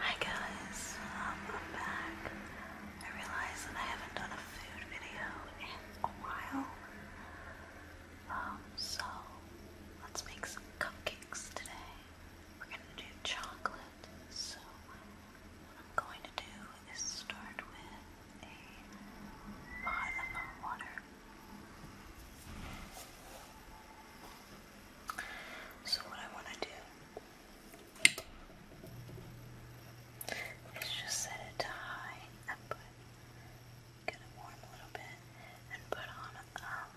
Hi guys, um, I'm back. I realize that I haven't done a food video in a while. Um, so let's make some cupcakes today. We're gonna do chocolate, so what I'm going to do is start with a pot of water. So, what I want to do is just set it to high and get it warm a little bit and put on um,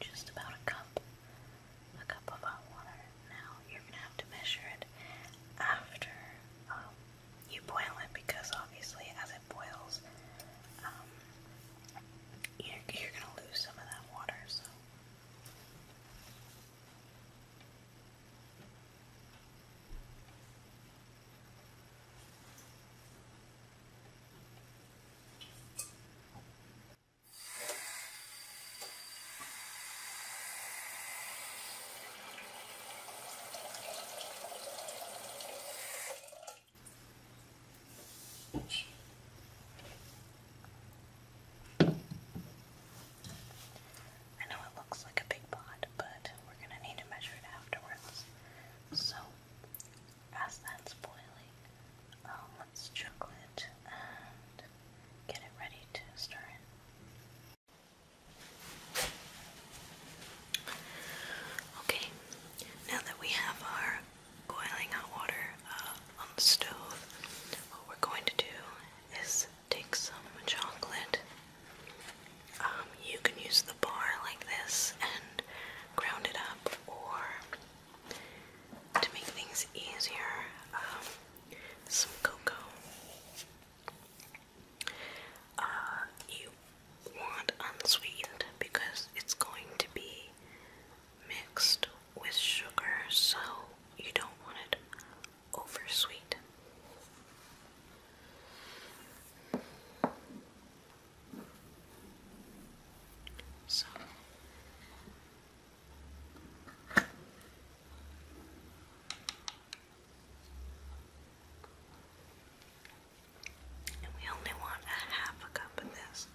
just about a cup, a cup of hot water. Now, you're gonna have to measure it after. Um, you boil it because obviously as it boils, um, you're, you're going to lose some of that water, so. I know it looks like a big pot, but we're going to need to measure it afterwards. So, as that's boiling, um, let's chuckle it and get it ready to stir in. Okay, now that we have our boiling hot water uh, on the stove, what we're going to do is take some chocolate. Um, you can use the bar like this and ground it up, or to make things easier, um, some cocoa. Uh, you want unsweetened because it's going to be mixed with sugar, so you don't want it oversweet. So and we only want a half a cup of this.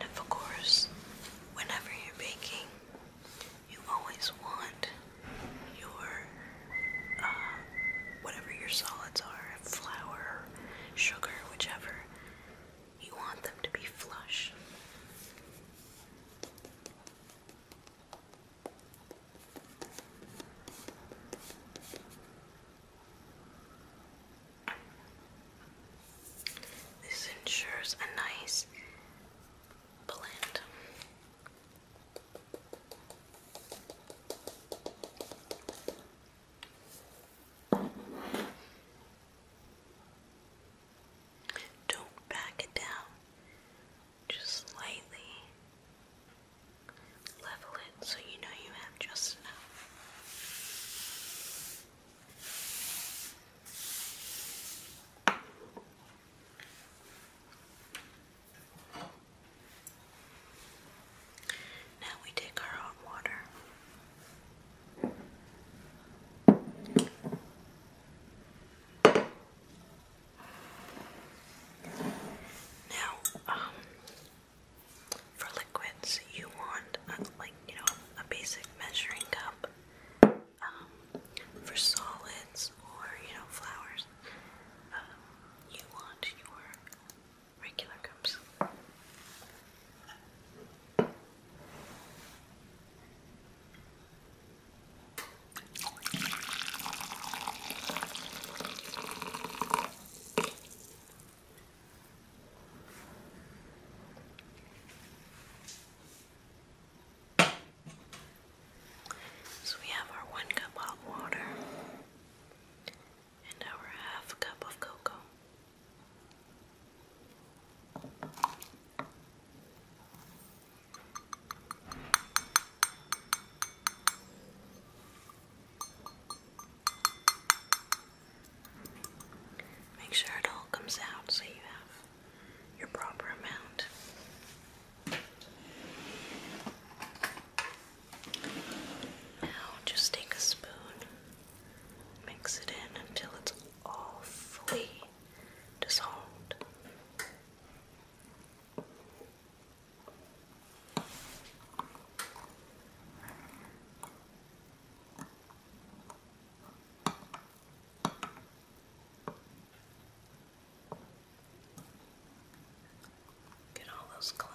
And of course, whenever you're baking, you always want your uh, whatever your solids are, flour, sugar, whichever, you want them to be flush. This ensures a nice blend. Don't back it down, just lightly level it so you know you have just enough. Now we take our hot water. Now, um, for liquids, you want like you know a basic measuring cup, um, for solids or you know flowers, um, you want your regular cups. So we have our one cup hot water and our half a cup of cocoa. Make sure it all comes out so you have your proper amount. Now just take a spoon, mix it in until it's all fully dissolved. Get all those clumps.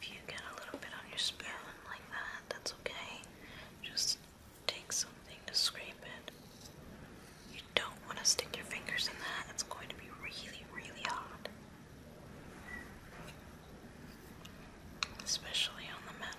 If you get a little bit on your spoon like that, that's okay. Just take something to scrape it. You don't want to stick your fingers in that, it's going to be really, really hot. Especially on the metal.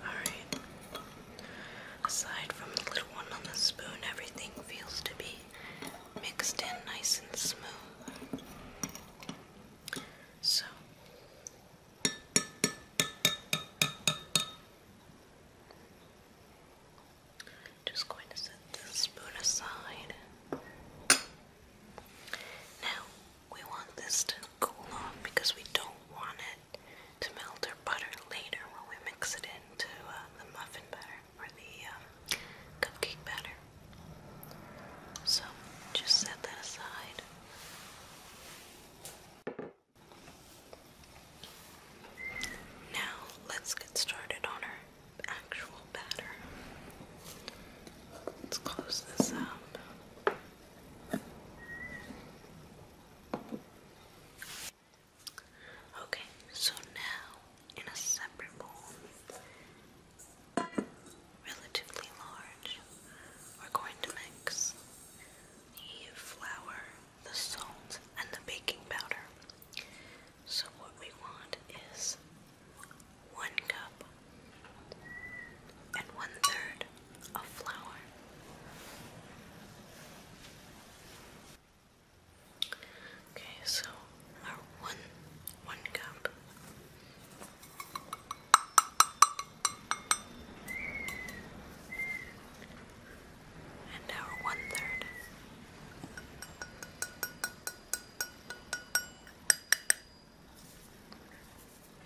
Alright. Aside from the little one on the spoon, everything feels to be mixed in nice and smooth. So just going to set this spoon aside. Now we want this to cool off because we don't want it to melt our butter later when we mix it into uh, the muffin batter for the um, cupcake batter. So just set that aside. Now let's get started on our actual batter. Let's close this up. Okay, so now in a separate bowl, relatively large, we're going to mix the flour, the salt, and the baking powder. So, what we want is one cup and one third of flour. Okay, so our one one cup. And our one third.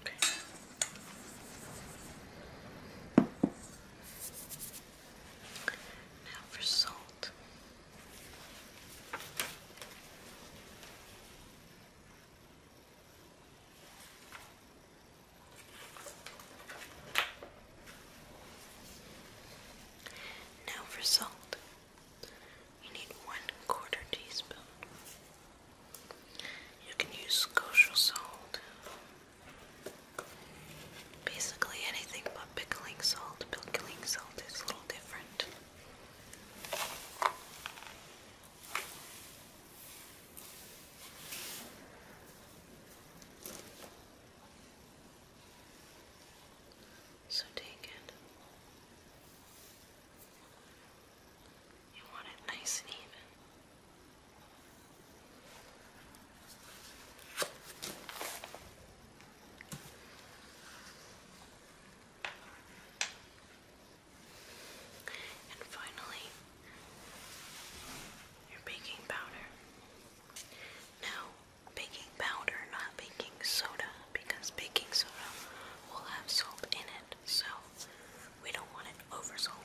Okay. Now for salt. Now for salt. You need one quarter teaspoon. You can use kosher salt Basically anything but pickling salt. Pickling salt is a little different. So take it. You want it nice and even. And finally, your baking powder. Now, baking powder, not baking soda, because baking soda will have salt in it, so we don't want it over salty.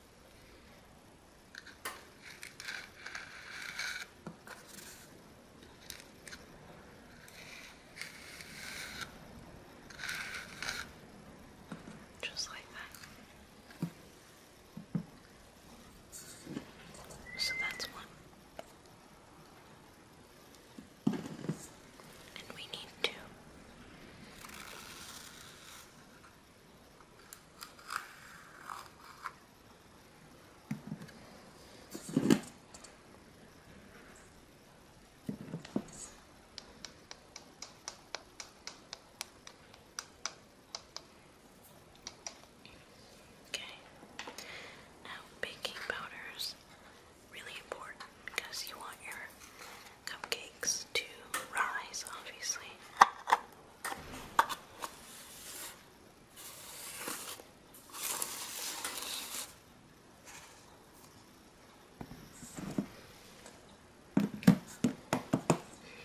Just like that. So that's one. And we need two. Okay. Now baking powders really important because you want your cupcakes to rise, obviously.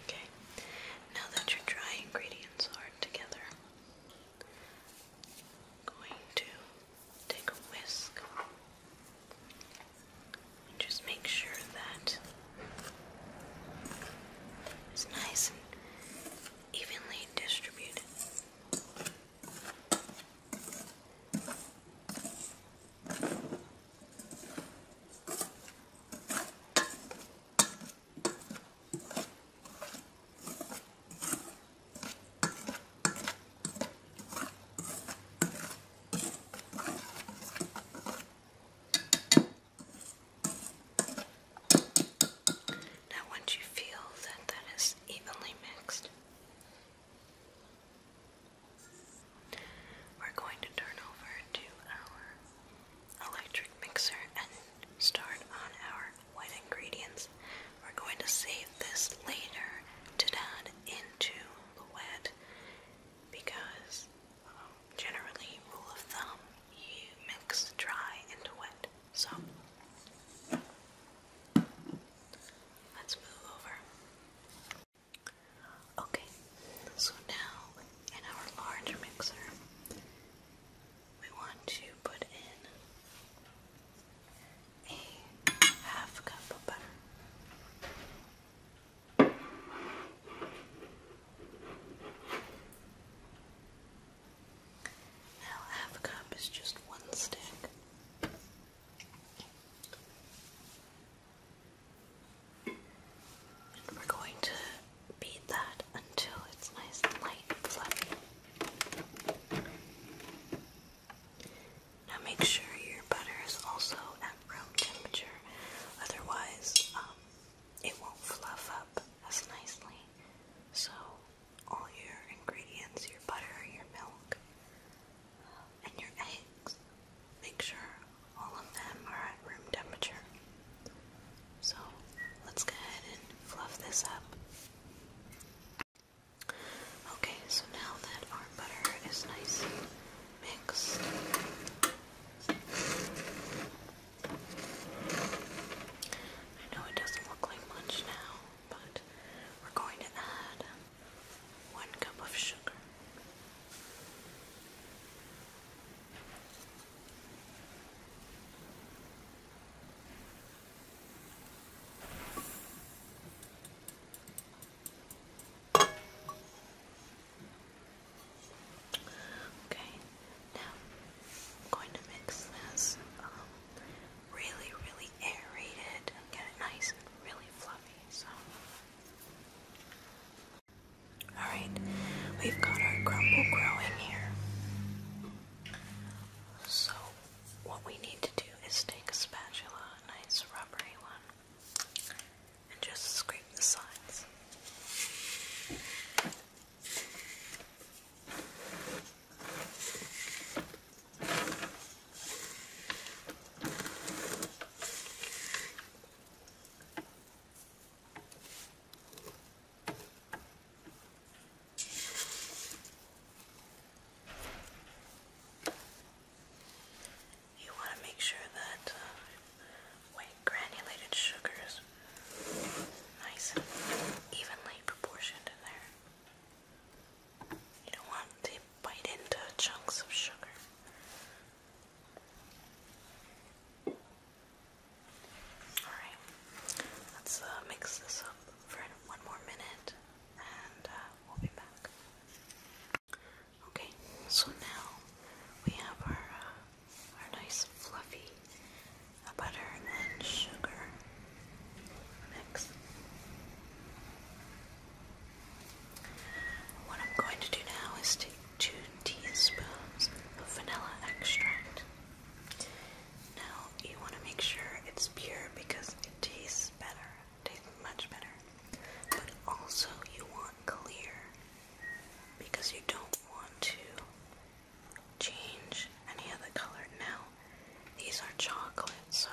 Okay, now that your dry ingredients are together, going to take a whisk just make sure that it's nice and evenly distributed. Now, once you feel that that is evenly mixed, we're going to turn over to our electric mixer and start on our wet ingredients. We're going to save this later to add into the wet because generally, rule of thumb, you mix dry into wet. So let's move over. Okay, so now in our large mixer, we want to put in a half cup of butter. Now, half a cup is just one stick. And we're going to beat that until it's nice and light and fluffy. Now make sure your butter is also room temperature, otherwise um, it won't fluff up as nicely. So all your ingredients, your butter, your milk, um, and your eggs, make sure all of them are at room temperature. So let's go ahead and fluff this up. Okay, so now that our butter is nice Mix. I know it doesn't look like much now, but we're going to add one cup of sugar. Okay, now I'm going to mix this um, really, really aerated get it nice and really fluffy. So, alright, we've got our crumble growing here. So, what we need to do is take a spatula, a nice rubbery one, and just scrape the sides. You want to make sure that uh, granulated sugar is nice and evenly proportioned in there. You don't want to bite into chunks of sugar. Alright, let's uh, mix this up for one more minute and uh, we'll be back. Okay, so now we have our uh, our nice fluffy uh, butter and sugar mix. What I'm going to do now is take two teaspoons of vanilla extract. Now you want to make sure it's pure because it tastes better tastes much better. But also, you want clear because you don't want to change any of color. Now, these are chocolate, so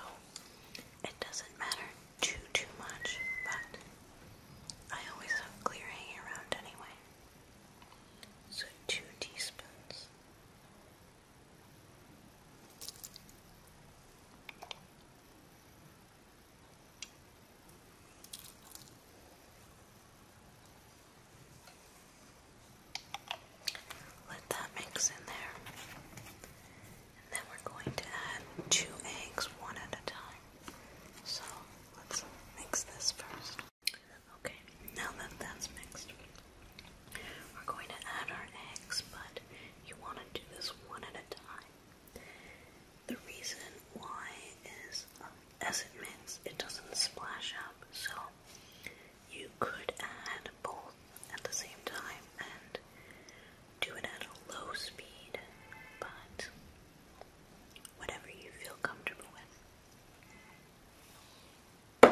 it doesn't matter too too much. But I always have clear hanging around anyway. So two teaspoons. Let that mix in there. And then we're going to add two eggs one at a time. So let's mix this first. Okay, now that that's mixed, we're going to add our eggs, but you want to do this one at a time. The reason why is as it mixes, it doesn't splash up, so you could add both at the same time and do it at a low speed, but whatever you feel comfortable with.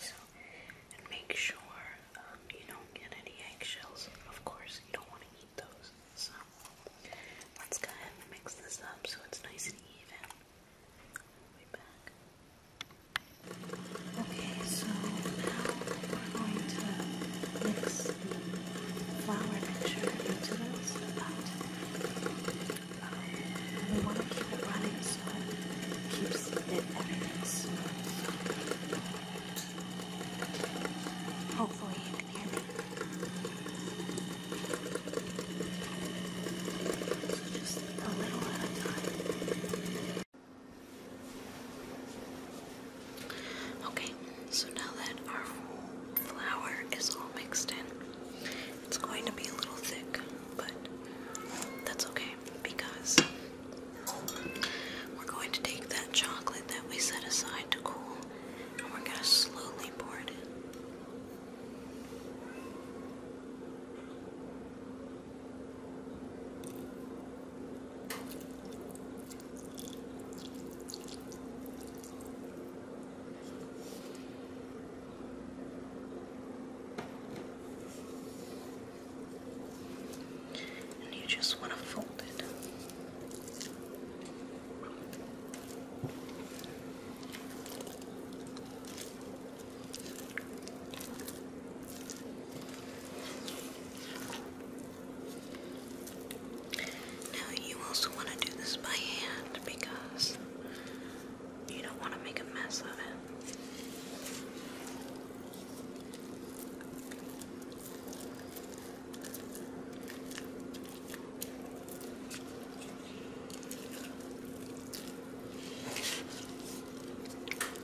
So, make sure um, you don't get any eggshells. Of course, you don't want to eat those. So, let's go ahead and mix this up so it's nice and even. Way back. Okay, so now we're going to mix the flour mixture into this, but um, we want to keep it running so it keeps it smooth. Hopefully you can hear me. just a little at a time. Okay, so now that our flour is all mixed in, it's going to be a little thick, but that's okay because we're going to take that chocolate that we set aside to cool and we're going to slowly pour it and you just want to fold it. Now you also want to do this by hand because you don't want to make a mess of it.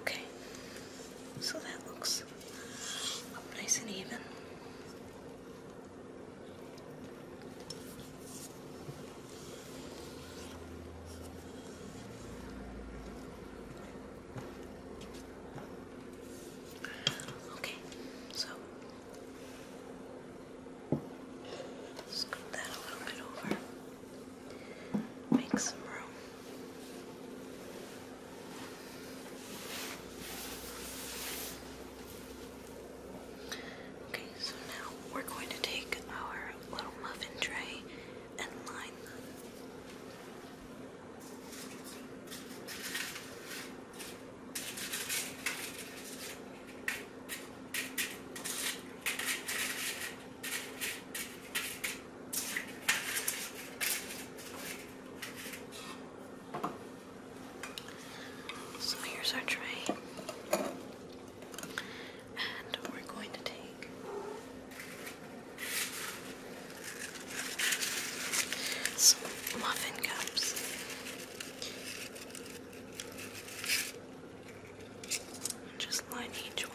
Okay, so that looks nice and even. Okay, so scoop that a little bit over, make some room. Okay, so now we're going to take our little muffin tray and line them. So here's our tray. And we're going to take some muffin cups. just line each one.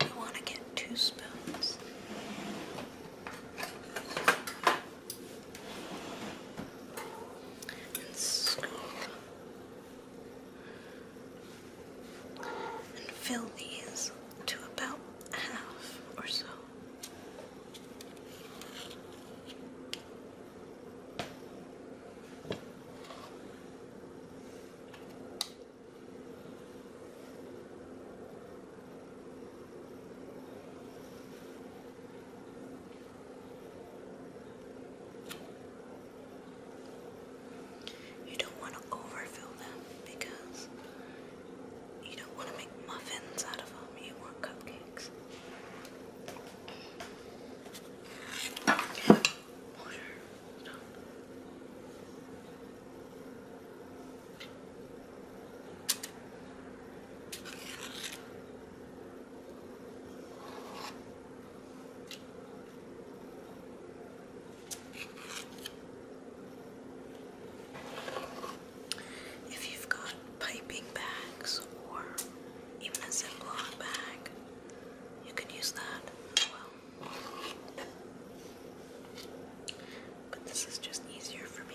we want to get two spoons. And scoop. And fill these to about half or so. You don't want to overfill them because you don't want to make muffins out of them, you want cupcakes. If you've got piping bags or even a Ziploc bag, you can use that as well. But this is just easier for me.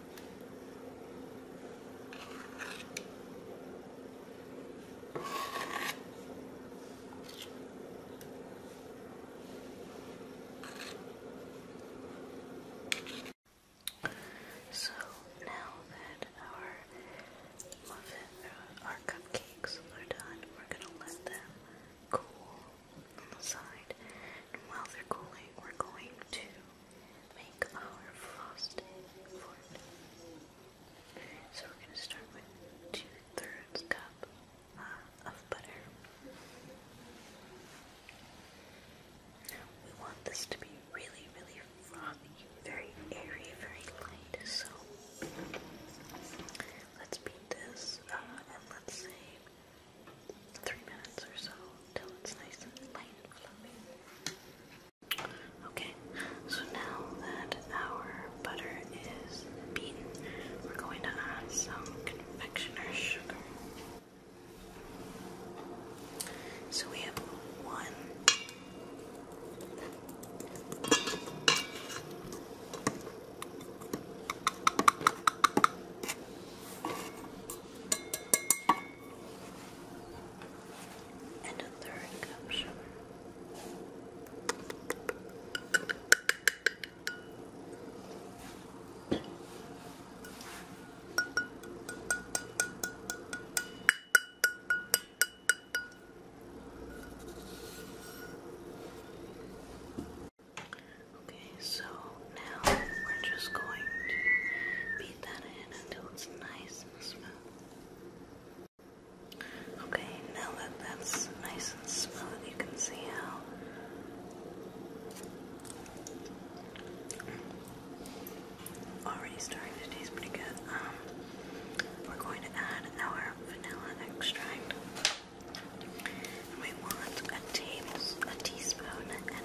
So now that our muffin, uh, our cupcakes are done, we're gonna let them cool on the side. And while they're cooling, we're going to so we're going to start with two thirds cup uh, of butter. we want this to be really, really frothy, very airy, very light. So let's beat this and let's say three minutes or so till it's nice and light and fluffy. Okay, so now that our butter is beaten, we're going to add some confectioner sugar. So we have one and a third cup sugar. Okay, so now we're just going to beat that in until it's nice and smooth. Okay, now that that's nice and smooth, you can see how already starting to taste pretty good. Um, we're going to add our vanilla extract. we want a tables a teaspoon and a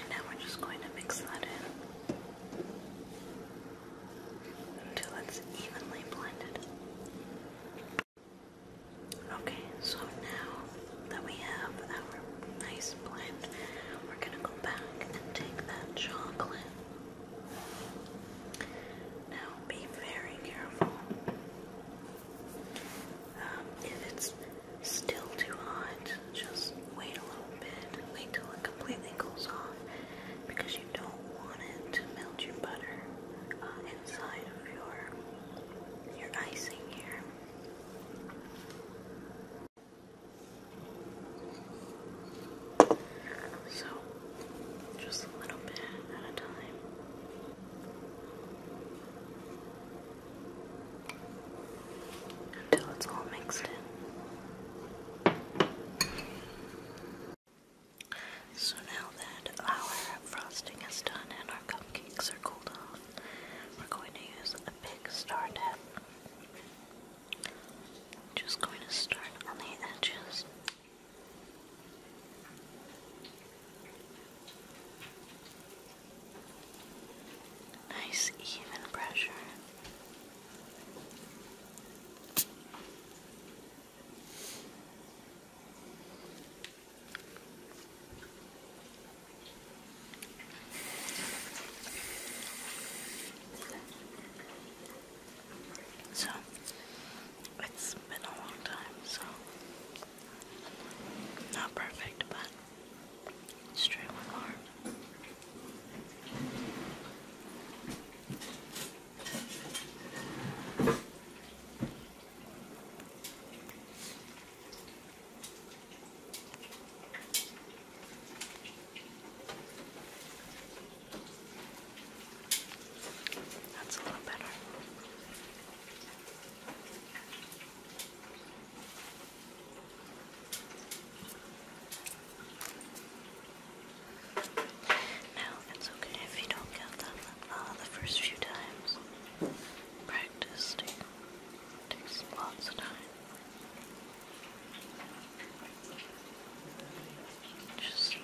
And now we're just going to mix that in until it's evenly blended. Okay, so now that we have our nice blend, we're going to go back and take that chocolate. Now, be very careful. Um, if it's still too hot, just wait a little bit. Wait till it completely cools off because you don't want it to melt your butter uh, inside of your your icing here. So, just a little bit at a time until it's all mixed in. So now that our frosting is done and our cupcakes are cooled off, we're going to use a big star tip. just going to start on the edges. Nice even pressure. So it's been a long time, so not perfect, but just try one arm. That's a lot better. Now, it's okay if you don't get them uh, the first few times. Practice takes, takes lots of time. Just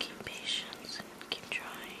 keep patience and keep trying.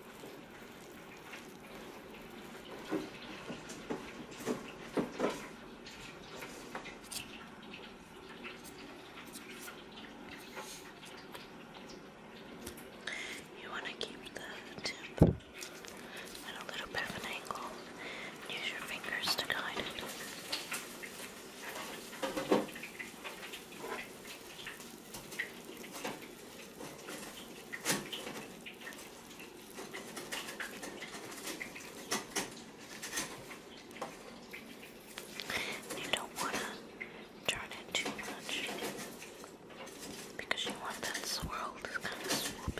You want to keep the tip at a little bit of an angle. Use your fingers to guide it. You don't want to turn it too much because you want that swirl to swoop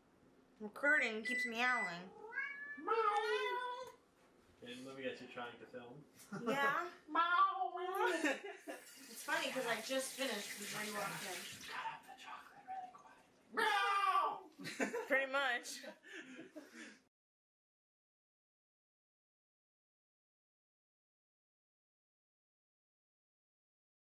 recording keeps meowing. Meow. And let me guess, you're trying to film? Yeah. it's funny because I just finished before you walked in. Pretty much.